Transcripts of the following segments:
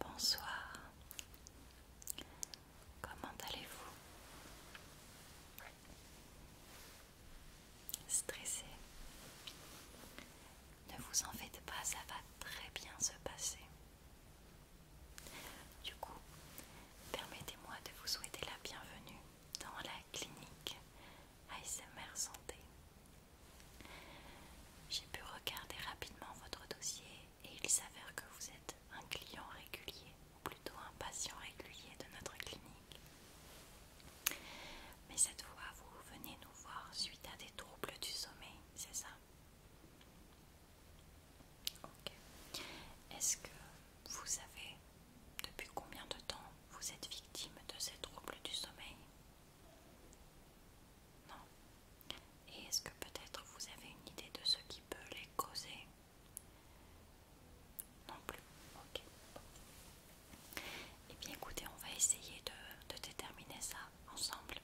Bonsoir, comment allez-vous Stressé Ne vous en faites pas, ça va très bien se passer. Du coup, permettez-moi de vous souhaiter la bienvenue dans la clinique ASMR Santé. J'ai pu regarder rapidement votre dossier et il s'avère que vous êtes un client régulier, ou plutôt un patient régulier de notre clinique. Mais cette fois, vous venez nous voir suite à des troubles du sommeil, c'est ça Ok. Est-ce que vous avez depuis combien de temps vous êtes victime de ces troubles du sommeil Non. Et est-ce que peut-être vous avez une idée de ce qui peut les causer Non plus. Ok. Eh bien écoutez, on va essayer de, de déterminer ça ensemble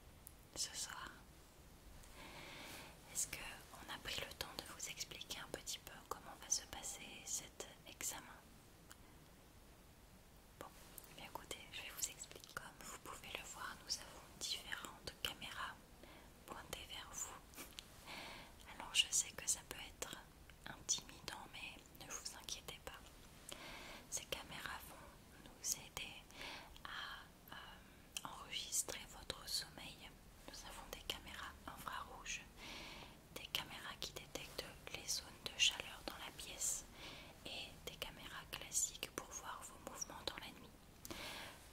ce soir. Est-ce qu'on a pris le temps de vous expliquer un petit peu comment va se passer cet examen Bon, eh écoutez, je vais vous expliquer. Comme vous pouvez le voir, nous avons différentes caméras pointées vers vous. Alors je sais que ça peut être intimidant, mais ne vous inquiétez pas. Ces caméras vont nous aider à euh, enregistrer votre sommeil. Nous avons des caméras infrarouges des caméras qui détectent les zones de chaleur dans la pièce et des caméras classiques pour voir vos mouvements dans la nuit.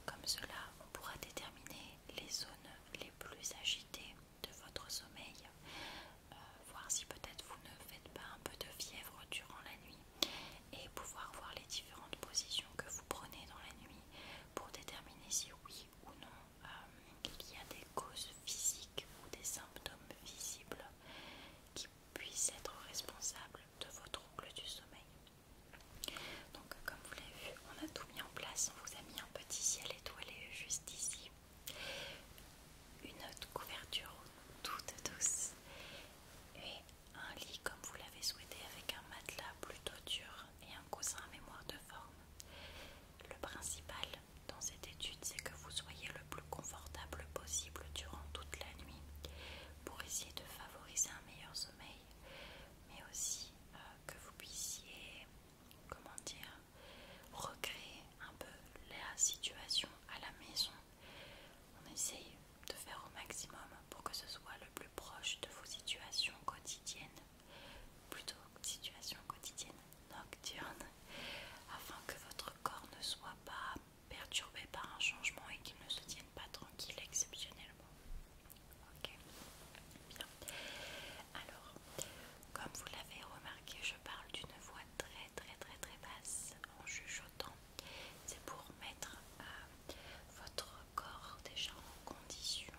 Comme cela, on pourra déterminer les zones les plus agitées de votre sommeil, euh, voir si peut-être vous ne faites pas un peu de fièvre durant la nuit et pouvoir voir les différentes positions que vous prenez dans la nuit pour déterminer si oui ou non qu'il euh, y a des causes physiques ou des symptômes visibles qui puissent être responsables de votre troubles du sommeil. Donc comme vous l'avez vu, on a tout mis en place, on vous a mis un petit ciel étoilé juste ici, une autre couverture toute douce et un lit comme vous l'avez souhaité avec un matelas plutôt dur et un coussin à mémoire de forme. Le principal dans cette étude, c'est que vous soyez le plus confortable possible durant toute la nuit pour essayer de favoriser un meilleur sommeil, mais aussi euh, que vous puissiez, comment dire, recréer un peu la situation à la maison. On essaye de faire au maximum pour que ce soit le plus proche de vos situations quotidiennes plutôt situation quotidienne nocturne, afin que votre corps ne soit pas perturbé par un changement et qu'il ne se tienne pas tranquille exceptionnellement. Ok, bien. Alors, comme vous l'avez remarqué, je parle d'une voix très très très très basse en chuchotant. C'est pour mettre euh, votre corps déjà en condition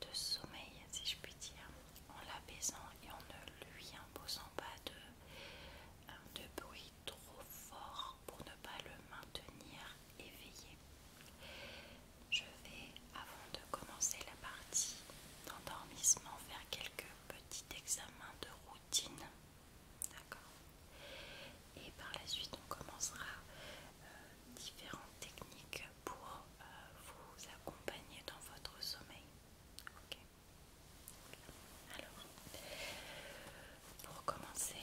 de sommeil, si je puis dire, en l'apaisant et en ne lui imposant pas de, euh, de bruit trop fort pour ne pas le maintenir éveillé. Je vais, avant de commencer la partie d'endormissement, faire quelques petits examens de routine. D'accord Et par la suite, on commencera euh, différentes techniques pour euh, vous accompagner dans votre sommeil. Ok. Alors, pour commencer,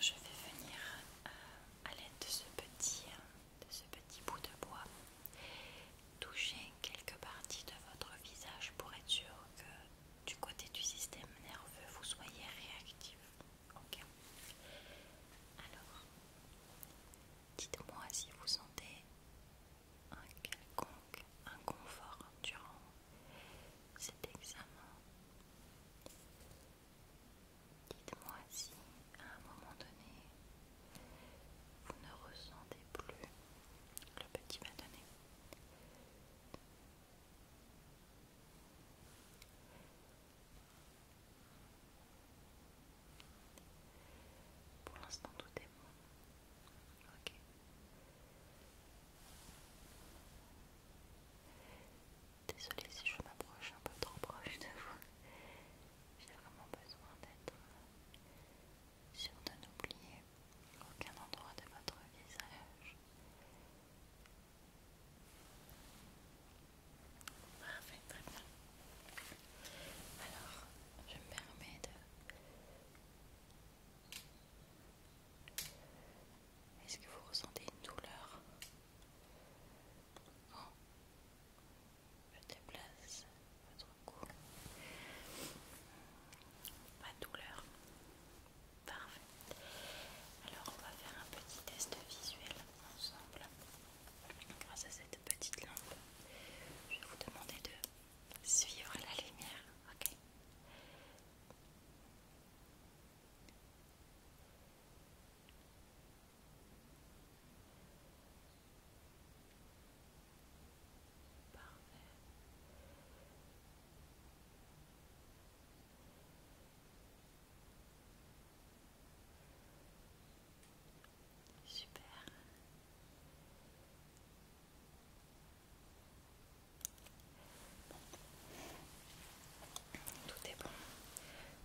je vais venir euh, à l'aide de ce petit, euh, de ce petit bout de bois, toucher quelques parties de votre visage pour être sûr que du côté du système nerveux, vous soyez réactif. Ok. Alors, dites-moi si vous sentez un quelconque inconfort durant cet examen. Dites-moi si à un moment donné vous ne ressentez plus le petit bâtonnet. Pour l'instant, tout est bon. Ok. Désolée si je m'approche un peu trop proche de vous. J'ai vraiment besoin d'être sûre de n'oublier aucun endroit de votre visage. Alors, je me permets de... Est-ce que vous ressentez une douleur je déplace votre cou. Pas douleur. Parfait. Alors on va faire un petit test visuel ensemble grâce à cette petite lampe. Je vais vous demander de suivre la lumière, Parfait. Super. Tout est bon.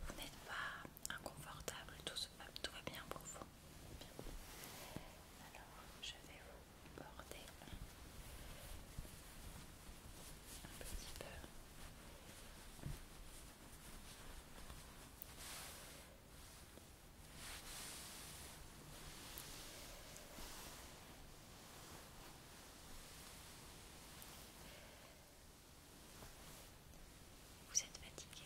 Vous n'êtes pas inconfortable, tout, va bien pour vous. Alors, je vais vous border vous êtes fatigué.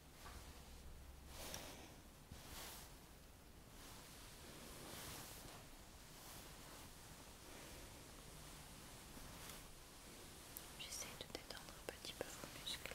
J'essaie de détendre un petit peu vos muscles.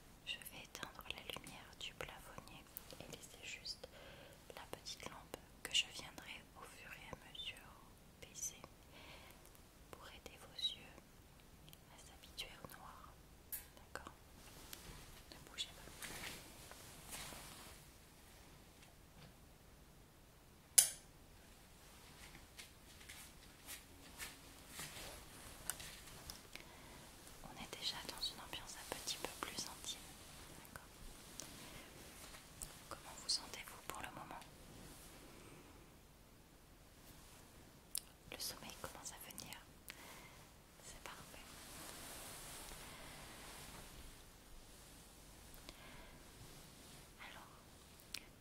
Je vais éteindre la lumière du plafonnier et laisser juste la petite lampe que je viendrai au fur et à mesure baisser pour aider vos yeux à s'habituer au noir. D'accord Ne bougez pas. On est déjà dans une ambiance un petit peu plus intime. Comment vous sentez-vous pour le moment Le sommeil commence à venir. C'est parfait. Alors,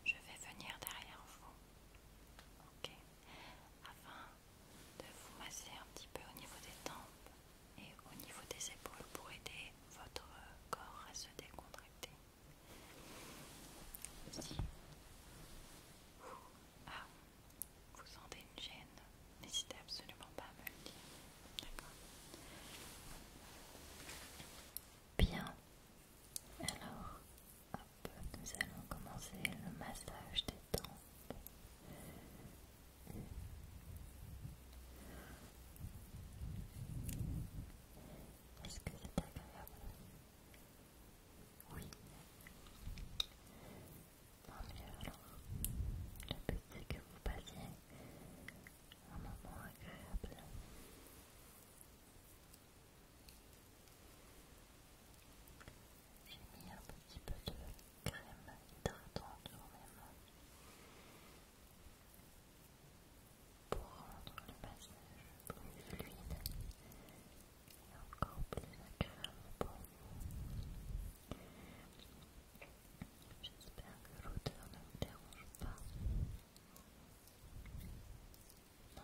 je vais venir derrière vous. Ok afin de vous masser un petit peu au niveau des tempes et au niveau des épaules pour aider votre corps à se décontracter. Si vous, ah, sentez une gêne, n'hésitez absolument pas à me le dire. D'accord Bien, alors, nous allons commencer le massage des tempes. Est-ce que c'est agréable Oui. mieux alors. Le but c'est que vous passiez un moment agréable. J'ai mis un petit peu de crème hydratante sur mes mains pour rendre le massage plus fluide et encore plus agréable pour vous. J'espère que l'odeur ne vous dérange pas. Non.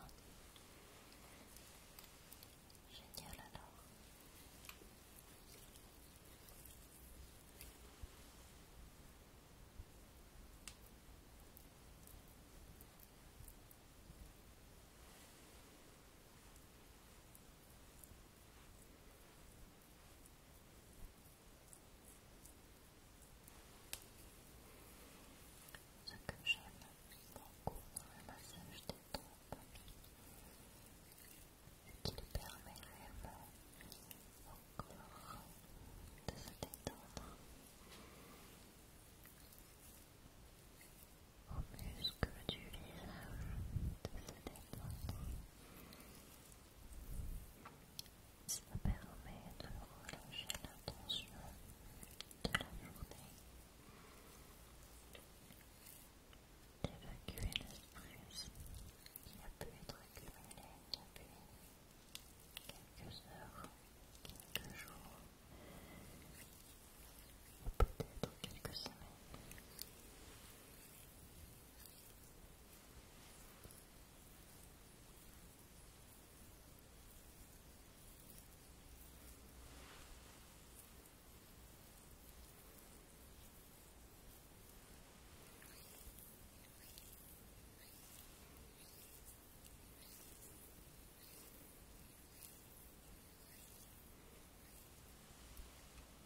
Génial alors. Ce que j'aime beaucoup dans le massage des trompes, et qui lui permet vraiment au corps de se détendre, aux muscles du visage de se détendre. Ça permet de relâcher la tension de la journée. D'évacuer le qui a pu être accumulé a quelques heures, quelques jours, ou peut-être quelques semaines.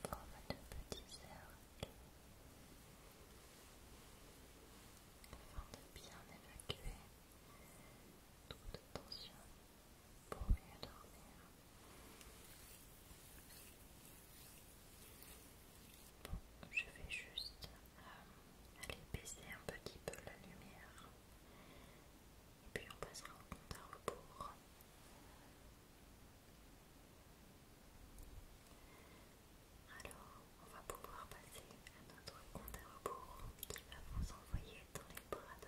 Forme de petit cercle afin de bien évacuer trop de tension pour mieux dormir. Bon, je vais juste euh, aller baisser un petit peu la lumière et puis on passera au compte à alors, on va pouvoir passer à notre compte à rebours qui va vous envoyer dans les bras de